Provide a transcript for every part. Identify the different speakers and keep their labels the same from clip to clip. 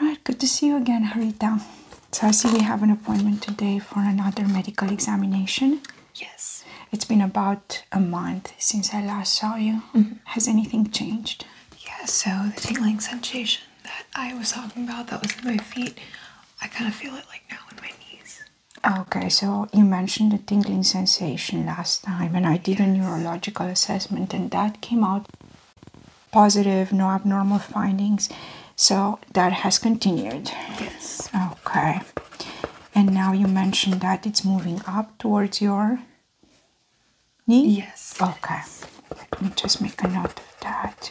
Speaker 1: Right, good to see you again, Harita. So I see we have an appointment today for another medical examination. Yes. It's been about a month since I last saw you. Mm-hmm. Has anything changed? Yes. so the tingling sensation that I was talking about that was in my feet, I kind of feel it like now in my knees. Okay, so you mentioned the tingling sensation last time, and I did a neurological assessment, and that came out positive, no abnormal findings. So that has continued. Yes. Okay. And now you mentioned that it's moving up towards your knee? Yes. Okay. Let me just make a note of that.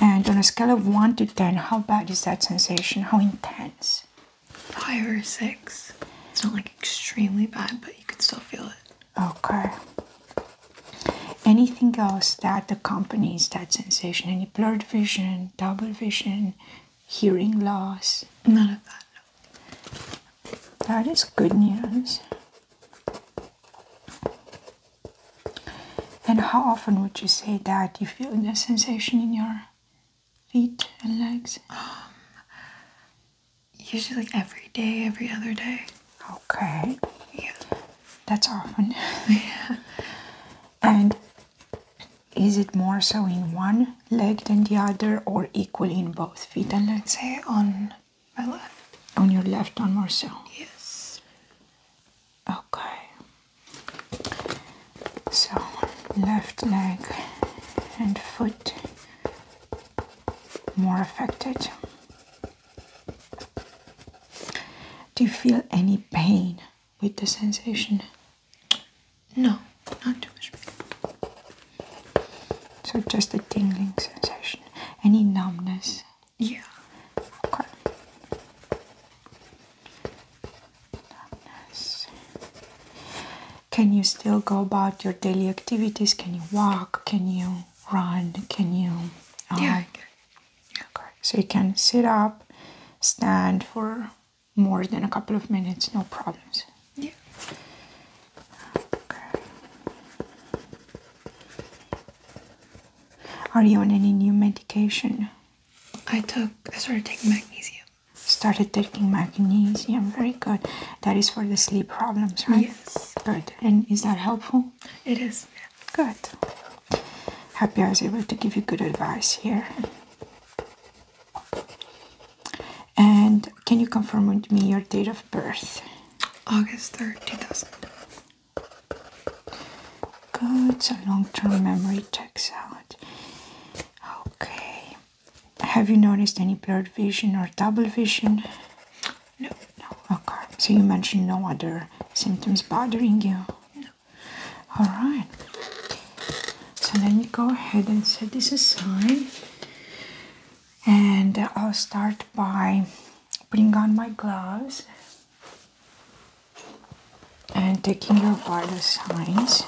Speaker 1: And on a scale of 1 to 10, how bad is that sensation? How intense? Five or six. It's not like extremely bad, but you can still feel it. Okay. Anything else that accompanies that sensation? Any blurred vision, double vision, hearing loss? None of that. That is good news. And how often would you say that you feel that sensation in your feet and legs? Um, Usually every day, every other day. Okay. Yeah. That's often. yeah. And is it more so in one leg than the other or equally in both feet and let's say on my left on your left one more so yes okay so left leg and foot more affected. Do you feel any pain with the sensation? No, not too much pain. So just a tingling sensation. Any numbness? Yeah. Okay can you still go about your daily activities? Can you walk? Can you run? Can you? Uh, yeah. Okay. So you can sit up, stand for more than a couple of minutes, no problems. Yeah. Okay. Are you on any new medication? I took. I started taking magnesium. Started taking magnesium. Very good. That is for the sleep problems, right? Yes. Good. And is that helpful? It is. Good. Happy I was able to give you good advice here. And can you confirm with me your date of birth? August 3rd, 2000. Good, so long term memory checks out. Okay, have you noticed any blurred vision or double vision? No, no. Okay. So you mentioned no other symptoms bothering you. No. All right. So let me go ahead and set this aside, and I'll start by putting on my gloves and taking your vital signs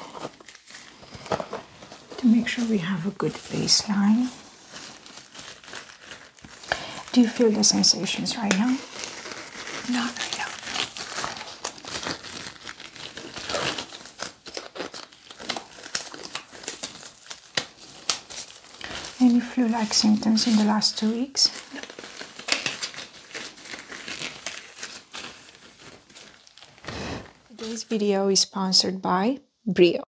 Speaker 1: to make sure we have a good baseline. Do you feel the sensations right now? Not right now. Any flu-like symptoms in the last two weeks? Today's video is sponsored by Brio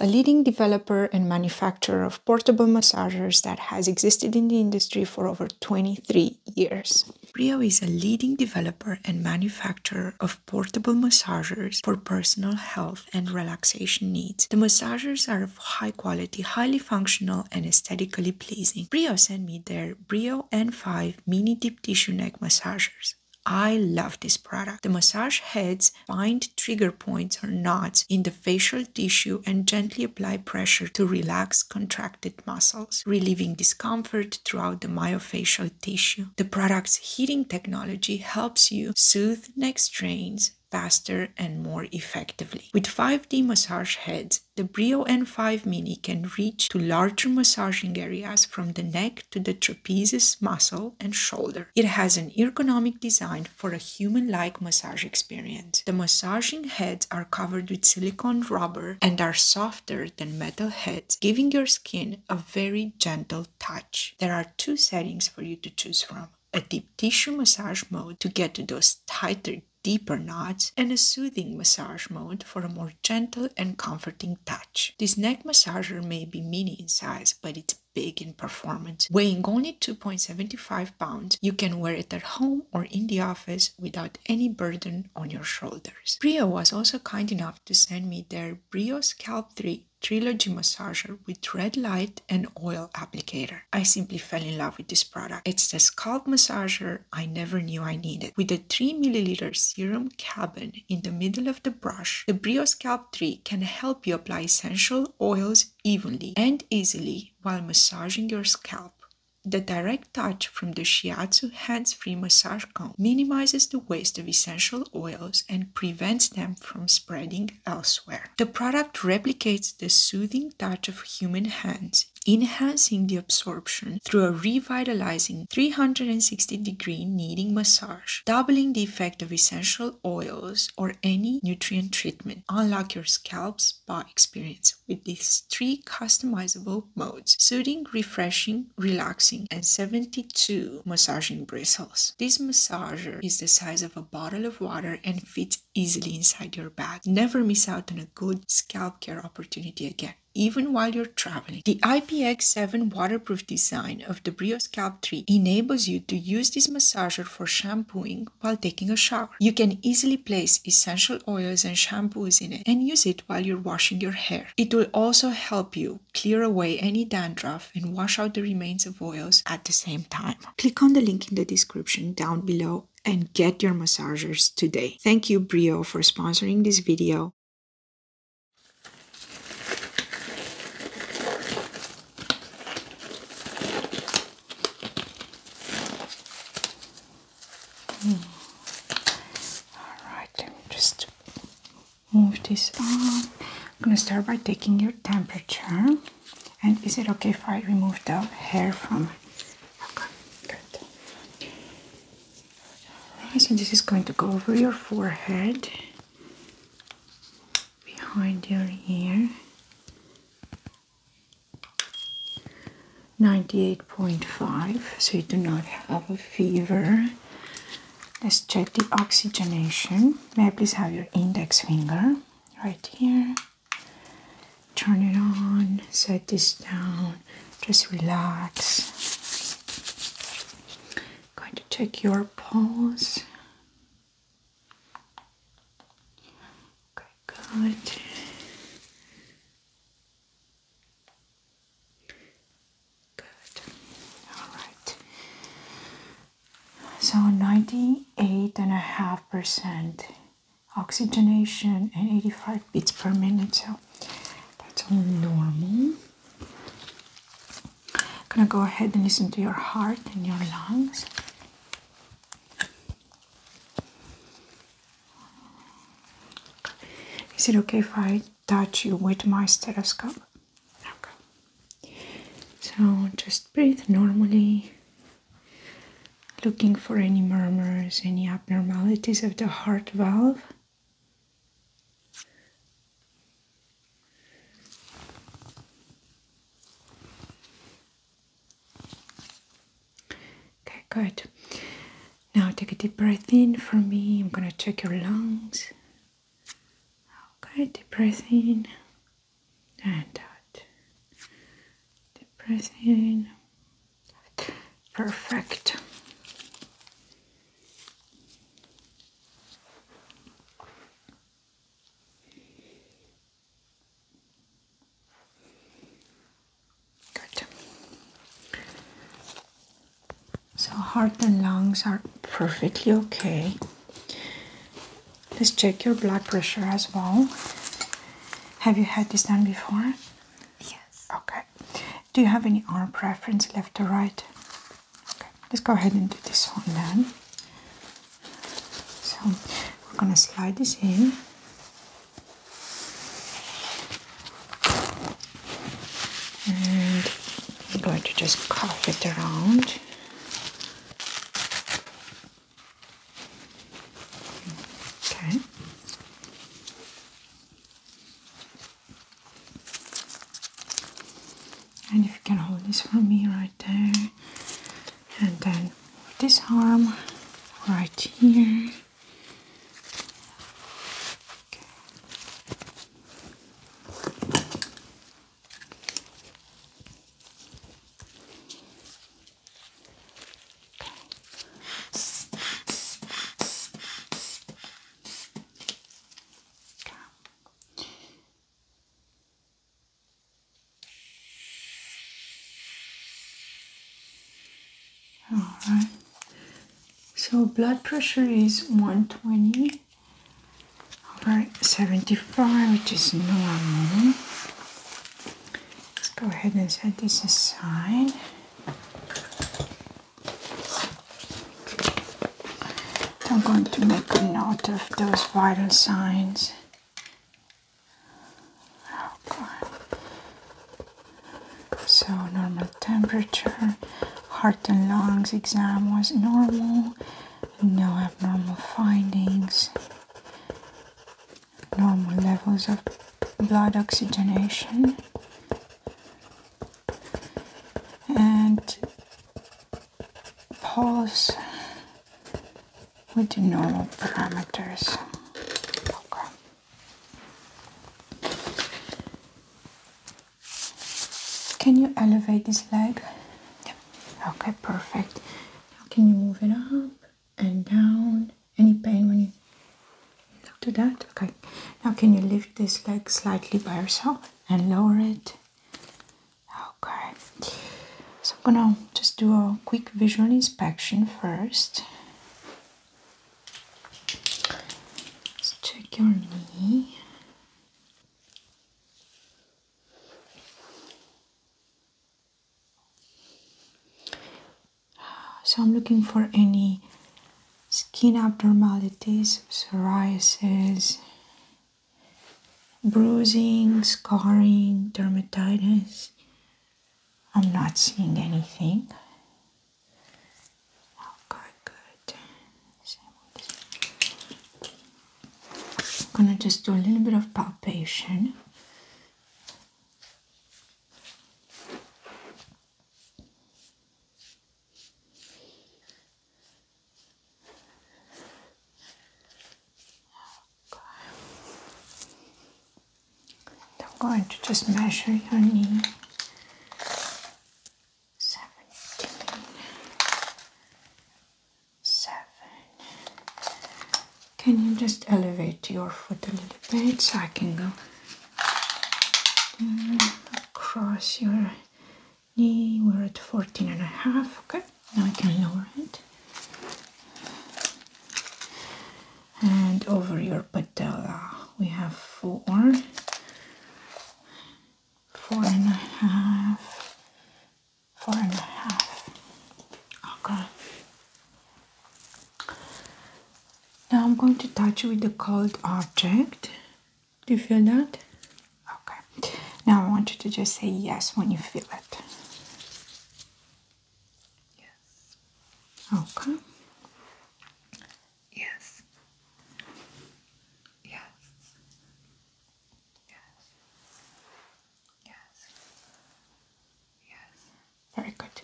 Speaker 1: a leading developer and manufacturer of portable massagers that has existed in the industry for over 23 years. Brio is a leading developer and manufacturer of portable massagers for personal health and relaxation needs. The massagers are of high quality, highly functional, and aesthetically pleasing. Brio sent me their Brio N5 mini deep tissue neck massagers. I love this product. The massage heads find trigger points or knots in the facial tissue and gently apply pressure to relax contracted muscles, relieving discomfort throughout the myofascial tissue. The product's heating technology helps you soothe neck strains faster and more effectively. With 5D massage heads, the Brio N5 Mini can reach to larger massaging areas from the neck to the trapezius muscle and shoulder it has an ergonomic design for a human-like massage experience. The massaging heads are covered with silicone rubber and are softer than metal heads, giving your skin a very gentle touch. There are two settings for you to choose from. A deep tissue massage mode to get to those tighter deeper knots and a soothing massage mode for a more gentle and comforting touch. This neck massager may be mini in size, but it's big in performance. Weighing only 2.75 pounds, you can wear it at home or in the office without any burden on your shoulders. Brio was also kind enough to send me their Brio Scalp 3 Trilogy Massager with red light and oil applicator. I simply fell in love with this product. It's the scalp massager I never knew I needed. With a 3 milliliter serum cabin in the middle of the brush, the Brio Scalp Tree can help you apply essential oils evenly and easily while massaging your scalp. The direct touch from the Shiatsu hands-free massage comb minimizes the waste of essential oils and prevents them from spreading elsewhere. The product replicates the soothing touch of human hands, enhancing the absorption through a revitalizing 360-degree kneading massage doubling the effect of essential oils or any nutrient treatment. Unlock your scalp's spa experience with these three customizable modes soothing, refreshing, relaxing, and 72 massaging bristles. This massager is the size of a bottle of water and fits easily inside your bag. Never miss out on a good scalp care opportunity again even while you're traveling. The IPX7 waterproof design of the Brio Scalp Tree enables you to use this massager for shampooing while taking a shower. You can easily place essential oils and shampoos in it and use it while you're washing your hair. It will also help you clear away any dandruff and wash out the remains of oils at the same time. Click on the link in the description down below and get your massagers today. Thank you Brio for sponsoring this video all right, let me just move this on. I'm gonna start by taking your temperature. And is it okay if I remove the hair from? Okay, good. so this is going to go over your forehead behind your ear. 98.5, so you do not have a fever. Let's check the oxygenation. May I please have your index finger right here? Turn it on, set this down, just relax. I'm going to take your pulse. Okay, good. Good. All right. So 98.5% oxygenation and 85 beats per minute. So that's all normal. I'm gonna go ahead and listen to your heart and your lungs. Is it okay if I touch you with my stethoscope? Okay. So just breathe normally, looking for any murmurs, any abnormalities of the heart valve. Okay, good. Now take a deep breath in for me. I'm gonna check your lungs. Okay, deep breath in and out. Deep breath in. Perfect. Good. So, heart and lungs are perfectly okay. Let's check your blood pressure as well. Have you had this done before? Yes. Okay. Do you have any arm preference, left or right? Okay, let's go ahead and do this one then. So we're gonna slide this in. And I'm going to just cuff it around. Okay. And if you can hold this for me right there, and then this arm right here. Alright, so blood pressure is 120 over 75, which is normal. Let's go ahead and set this aside. I'm going to make a note of those vital signs. Okay. So normal temperature, heart and lungs exam was normal, no abnormal findings, normal levels of blood oxygenation, and pause with the normal parameters. Okay. Can you elevate this leg? Yeah. Okay, perfect. can you move it up and down? Any pain when you don't that? Okay. Now, can you lift this leg slightly by yourself and lower it? Okay. So, I'm gonna just do a quick visual inspection first. Let's check your knee. So, I'm looking for any skin abnormalities, psoriasis, bruising, scarring, dermatitis. I'm not seeing anything. Okay, good. I'm gonna just do a little bit of palpation. I'm going to just measure your knee. 17, 7. Can you just elevate your foot a little bit so I can go Cross your knee we're at 14 and a half okay now I can lower it and over your patella we have four four and a half four and a half okay now I'm going to touch you with the cold object. Do you feel that? Okay. Now I want you to just say yes when you feel it. Yes. Okay. Yes. Yes. Yes. Yes. Yes. Very good.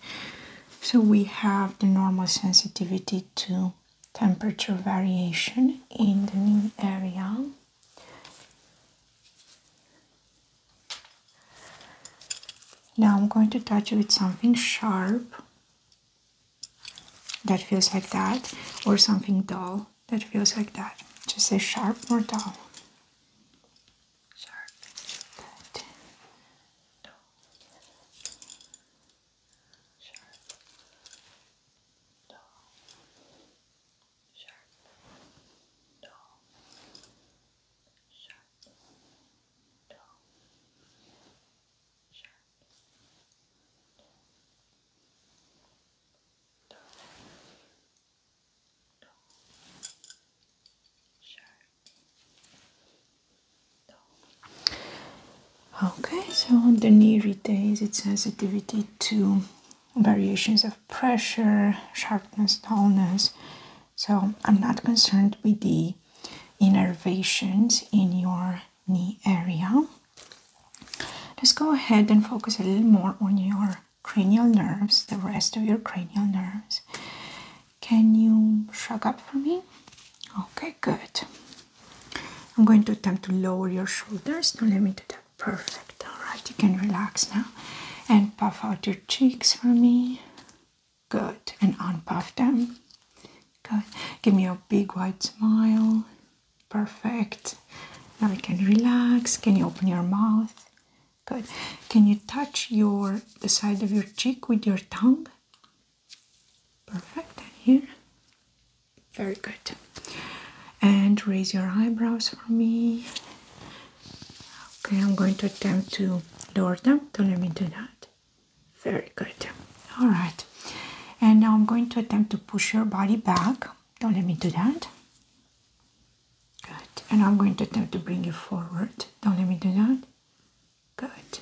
Speaker 1: So we have the normal sensitivity to temperature variation in the mean area now I'm going to touch with something sharp that feels like that or something dull that feels like that just say sharp or dull sharp, dull, sharp, dull, sharp, dull, sharp, dull, dull, sharp. Okay, so the knee retains its sensitivity to variations of pressure, sharpness, dullness. So I'm not concerned with the innervations in your knee area. Let's go ahead and focus a little more on your cranial nerves, the rest of your cranial nerves. Can you shrug up for me? Okay, good. I'm going to attempt to lower your shoulders. Now let me do that. Perfect. Alright, you can relax now. And puff out your cheeks for me. Good. And unpuff them. Good. Give me a big wide smile. Perfect. Now we can relax. Can you open your mouth? Good. Can you touch your the side of your cheek with your tongue? Perfect. And here. Very good. And raise your eyebrows for me. Okay, I'm going to attempt to lower them. Don't let me do that. Very good. All right. And now I'm going to attempt to push your body back. Don't let me do that. Good. And I'm going to attempt to bring you forward. Don't let me do that. Good.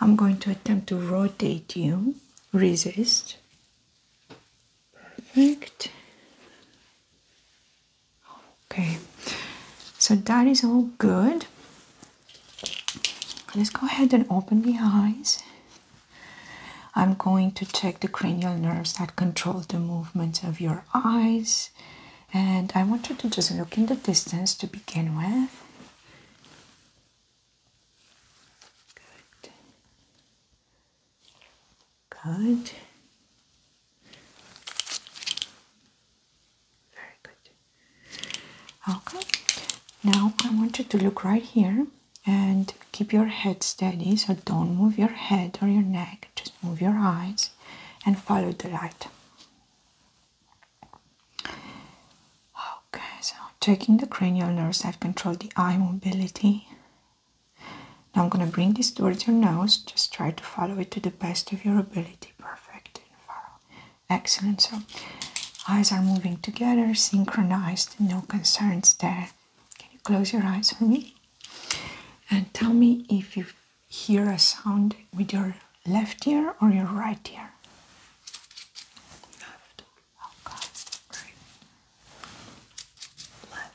Speaker 1: I'm going to attempt to rotate you. Resist. Perfect. Okay. So that is all good. Let's go ahead and open the eyes. I'm going to check the cranial nerves that control the movements of your eyes. And I want you to just look in the distance to begin with. Good. Good. Very good. Okay. Now I want you to look right here and keep your head steady. So don't move your head or your neck. Just move your eyes and follow the light. Okay, so checking the cranial nerves I've control the eye mobility. Now I'm gonna bring this towards your nose. Just try to follow it to the best of your ability. Perfect Excellent. So eyes are moving together, synchronized, no concerns there. Can you close your eyes for me? And tell me if you hear a sound with your left ear or your right ear? Left. Okay. Great. Left. Left.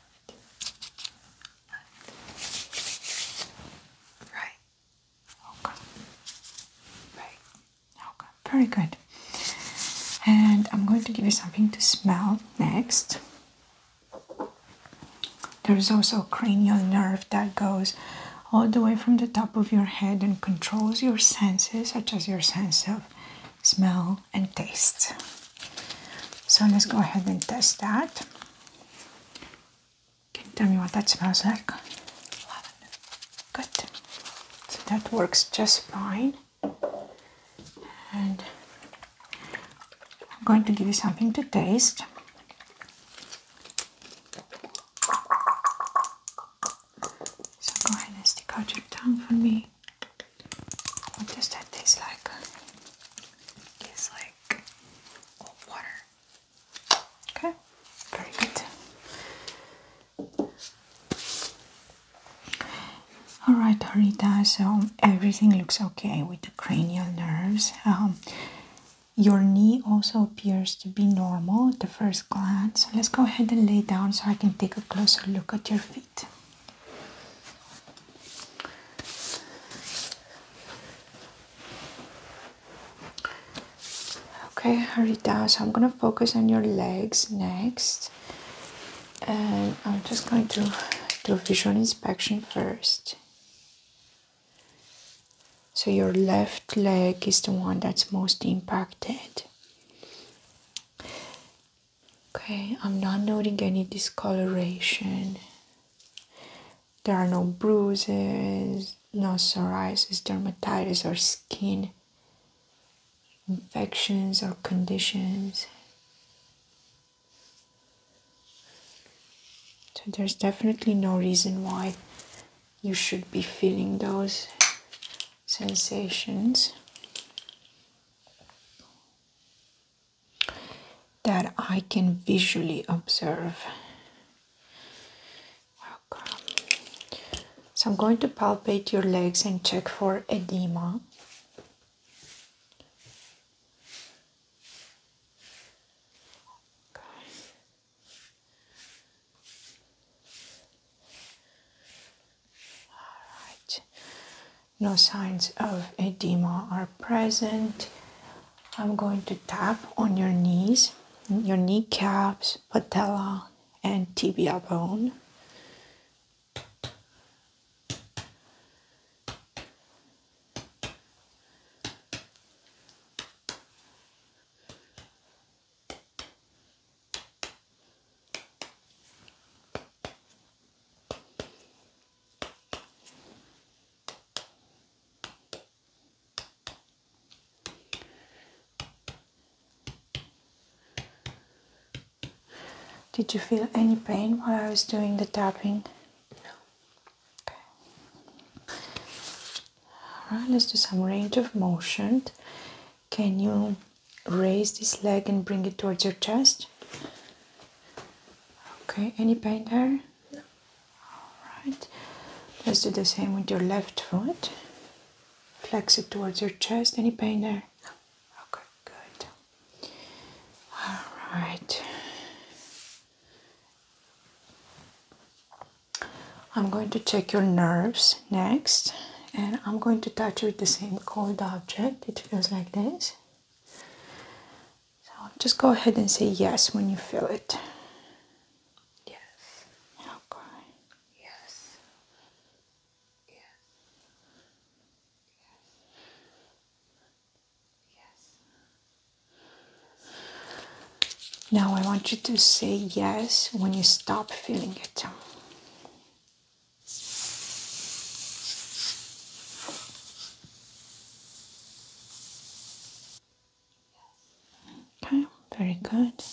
Speaker 1: Right. Okay. Right. Okay. Very good. And I'm going to give you something to smell next. There is also a cranial nerve that goes all the way from the top of your head and controls your senses, such as your sense of smell and taste. So let's go ahead and test that. Can you tell me what that smells like? Lavender. Good. that works just fine. And I'm going to give you something to taste. So go ahead and stick out your tongue for me. What does that taste like? Tastes like water. Okay, very good. Alright, Harita, so everything looks okay with the cranial nerves. Um, your knee also appears to be normal at the first glance. let's go ahead and lay down so I can take a closer look at your feet. Okay, Harita, so I'm gonna focus on your legs next. And I'm just going to do a visual inspection first. So your left leg is the one that's most impacted. Okay, I'm not noting any discoloration. There are no bruises, no psoriasis, dermatitis, or skin infections or conditions. So there's definitely no reason why you should be feeling those sensations that I can visually observe. So I'm going to palpate your legs and check for edema. Alright, no signs of edema are present. I'm going to tap on your knees, your kneecaps, patella, and tibia bone. Did you feel any pain while I was doing the tapping? No. Okay. All right, let's do some range of motion. Can you raise this leg and bring it towards your chest? Okay, any pain there? No. All right. Let's do the same with your left foot. Flex it towards your chest. Any pain there? No. Okay, good. All right. I'm going to check your nerves next and I'm going to touch with the same cold object. It feels like this. So just go ahead and say yes when you feel it. Yes. Okay. Yes. Yes. Yes. Yes. Now I want you to say yes when you stop feeling it. Okay, very good. Yes.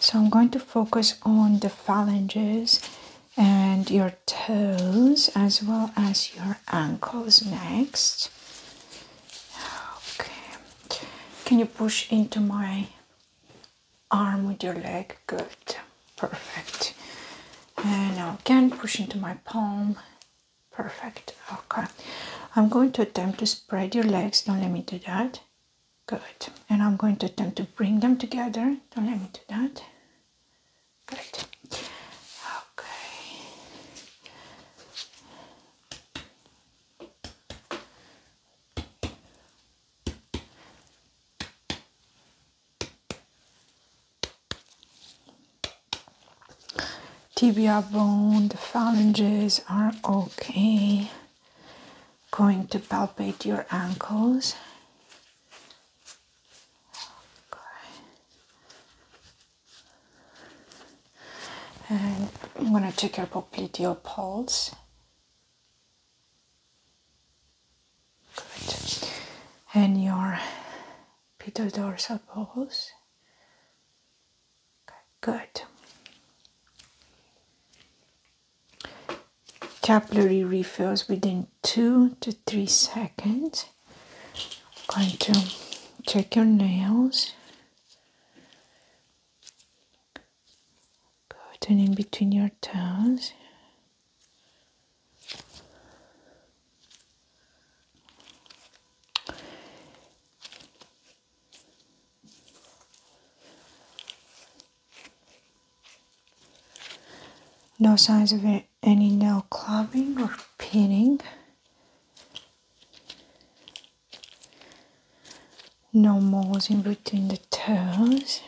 Speaker 1: So I'm going to focus on the phalanges and your toes as well as your ankles next. Okay. Can you push into my arm with your leg? Good. Perfect. And now again push into my palm. Perfect. Okay. I'm going to attempt to spread your legs. Don't let me do that. Good. And I'm going to attempt to bring them together. Don't let me do that. Good. tibia bone, the phalanges are okay going to palpate your ankles. And I'm going to check your popliteal pulse. Good. And your pedal dorsal pulse. Okay, good capillary refills within two to three seconds. going to check your nails. Good, and in between your toes. No signs of any nail clubbing or pinning. No moles in between the toes.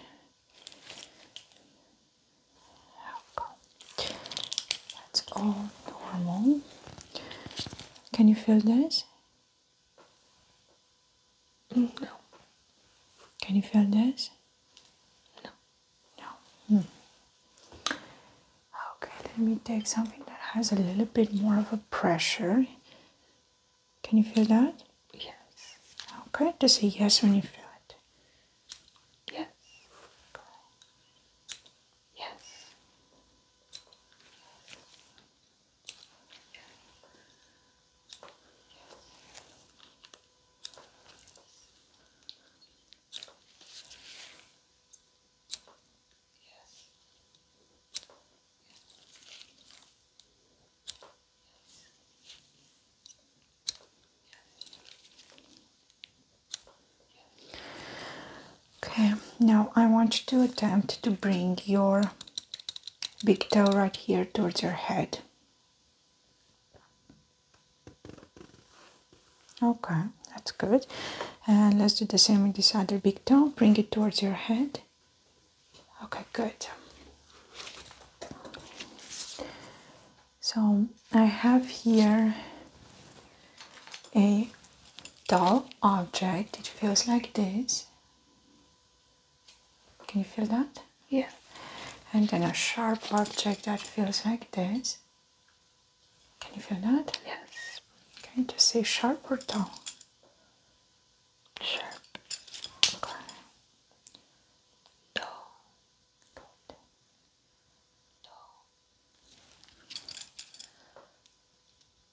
Speaker 1: That's all normal. Can you feel this? No. Can you feel this? No. No. Hmm. Okay, let me take something that has a little bit more of a pressure. Can you feel that? Yes. Okay, to say yes when you feel it. Yes. Yes. Okay, now I want you to attempt to bring your big toe right here towards your head. Okay, that's good. And let's do the same with this other big toe. Bring it towards your head. Okay, good. So I have here a doll object. It feels like this. Can you feel that? Yeah. And then a sharp object that feels like this. Can you feel that? Yes. Can you just say sharp or dull? Sharp. Okay. Dull. Dull.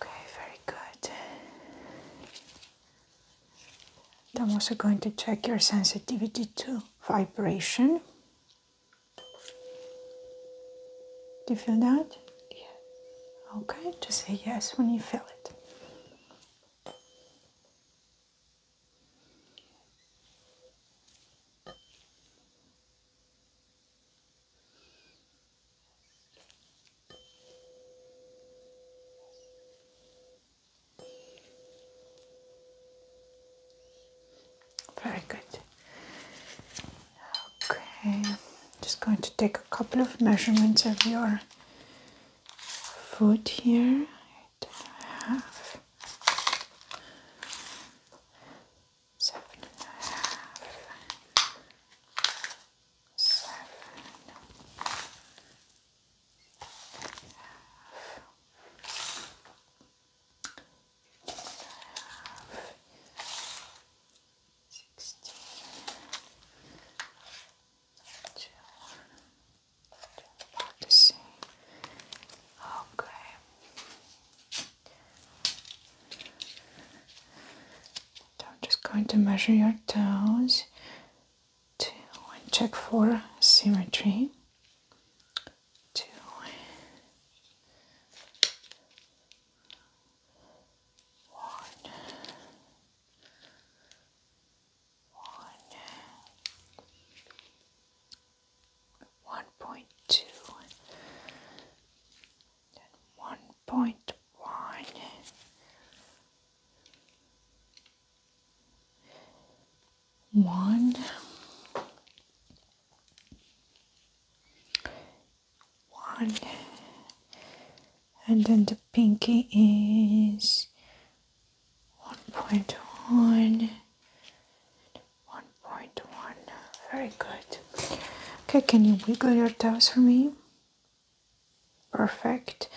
Speaker 1: Okay, very good. I'm also going to check your sensitivity to vibration. Do you feel that? Yeah. Okay, just say yes when you feel it. Very good. Okay, just going to take a couple of measurements of your foot here. Eight and a half seven and a half, seven and a half. Fifteen and a half, sixteen, two, about the same. Okay. So I'm just going to measure your toes two and check for symmetry. Two one one one point two one point one one one and then the pinky is one point one one point one very good Okay, can you wiggle your toes for me? Perfect.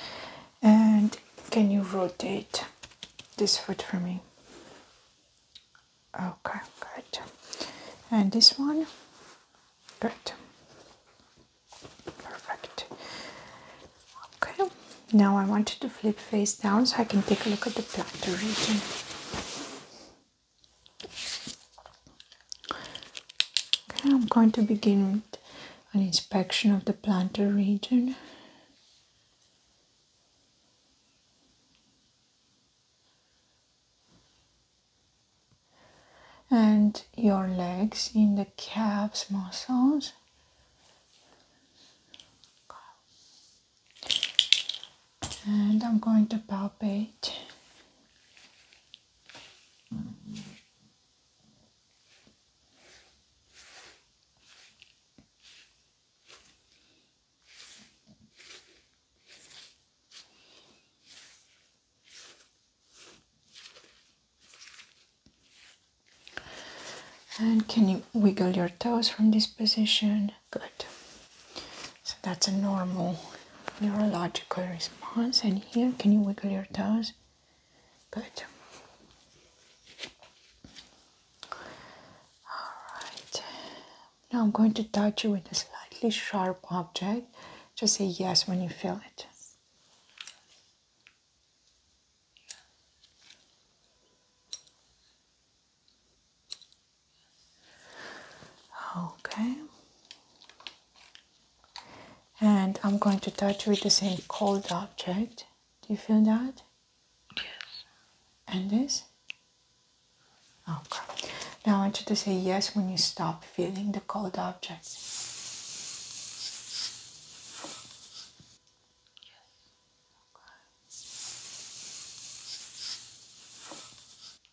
Speaker 1: And can you rotate this foot for me? Okay, good. And this one? Good. Perfect. Okay, now I want you to flip face down so I can take a look at the plantar region. Okay, I'm going to begin with an inspection of the plantar region. and your legs in the calves muscles and I'm going to palpate and can you wiggle your toes from this position? Good. So that's a normal neurological response. And here, can you wiggle your toes? Good. Alright. Now I'm going to touch you with a slightly sharp object. Just say yes when you feel it. Okay. And I'm going to touch with the same cold object. Do you feel that? Yes. And this? Okay. Oh, now I want you to say yes when you stop feeling the cold object. Yes.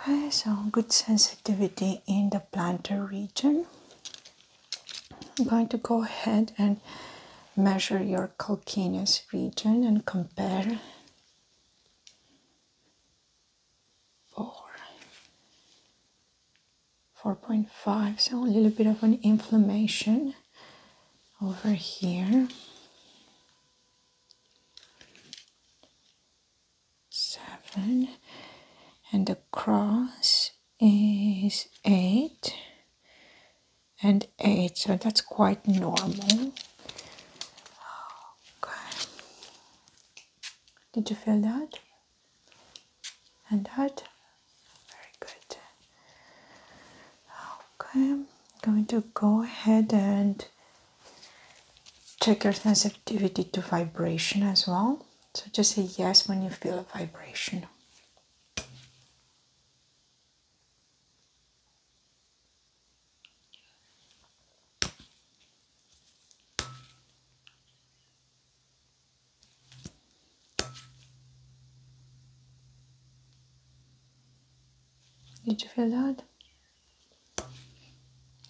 Speaker 1: Okay, so good sensitivity in the plantar region. I'm going to go ahead and measure your calcaneus region and compare. Four. 4.5, so a little bit of an inflammation over here. Seven and across is 8 and 8 so that's quite normal okay did you feel that and that very good okay i'm going to go ahead and check your sensitivity to vibration as well so just say yes when you feel a vibration. Did you feel that?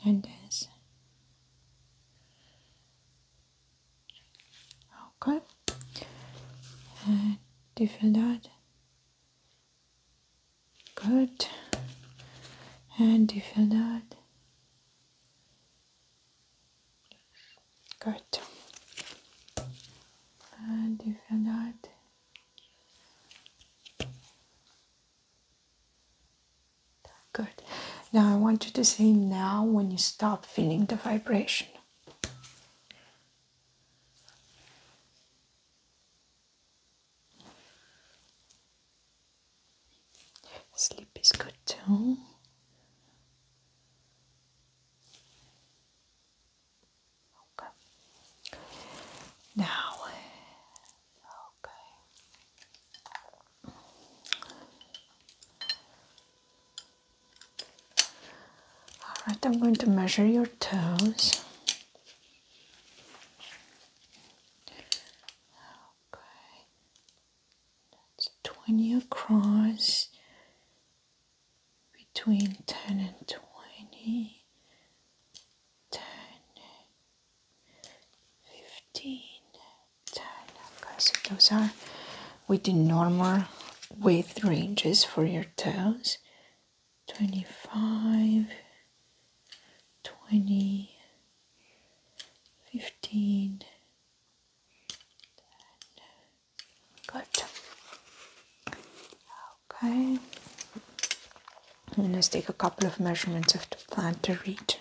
Speaker 1: And dance. Okay. Uh, do you feel that? Good. And do you feel that? Good. And do you feel that? Good. Now I want you to say now when you stop feeling the vibration. Sleep is good too. Okay. Now, okay. All right, I'm going to measure your toes. Okay, that's 20 across between 10 and 20, 10, 15. Okay, so those are with the normal width ranges for your toes 25, 20, 15. Good. Okay. let's take a couple of measurements of the plantar region.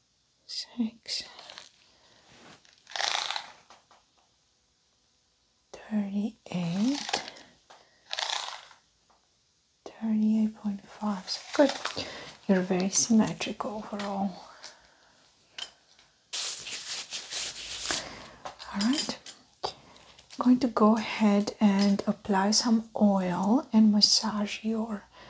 Speaker 1: six, thirty-eight, thirty-eight point five. So good. You're very symmetric overall. All right. I'm going to go ahead and apply some oil and massage your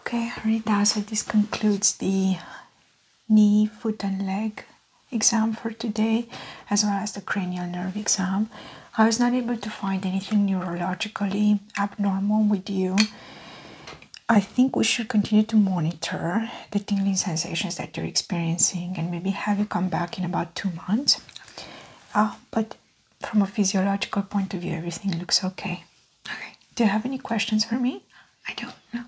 Speaker 1: Okay, Rita, so this concludes the knee, foot, and leg exam for today, as well as the cranial nerve exam. I was not able to find anything neurologically abnormal with you. I think we should continue to monitor the tingling sensations that you're experiencing and maybe have you come back in about two months Oh, but from a physiological point of view, everything looks okay. Okay. Do you have any questions for me? I don't know.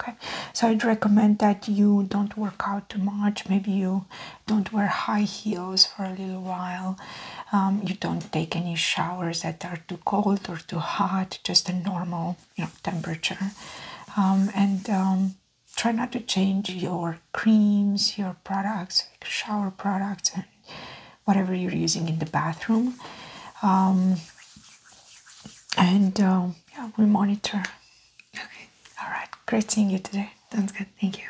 Speaker 1: Okay. So I'd recommend that you don't work out too much. Maybe you don't wear high heels for a little while. Um, you don't take any showers that are too cold or too hot. Just a normal, you know, temperature. Um, and um, try not to change your creams, your products, like shower products, and whatever you're using in the bathroom. Um, and um, yeah, we monitor. Okay. All right. Great seeing you today. Sounds good. Thank you.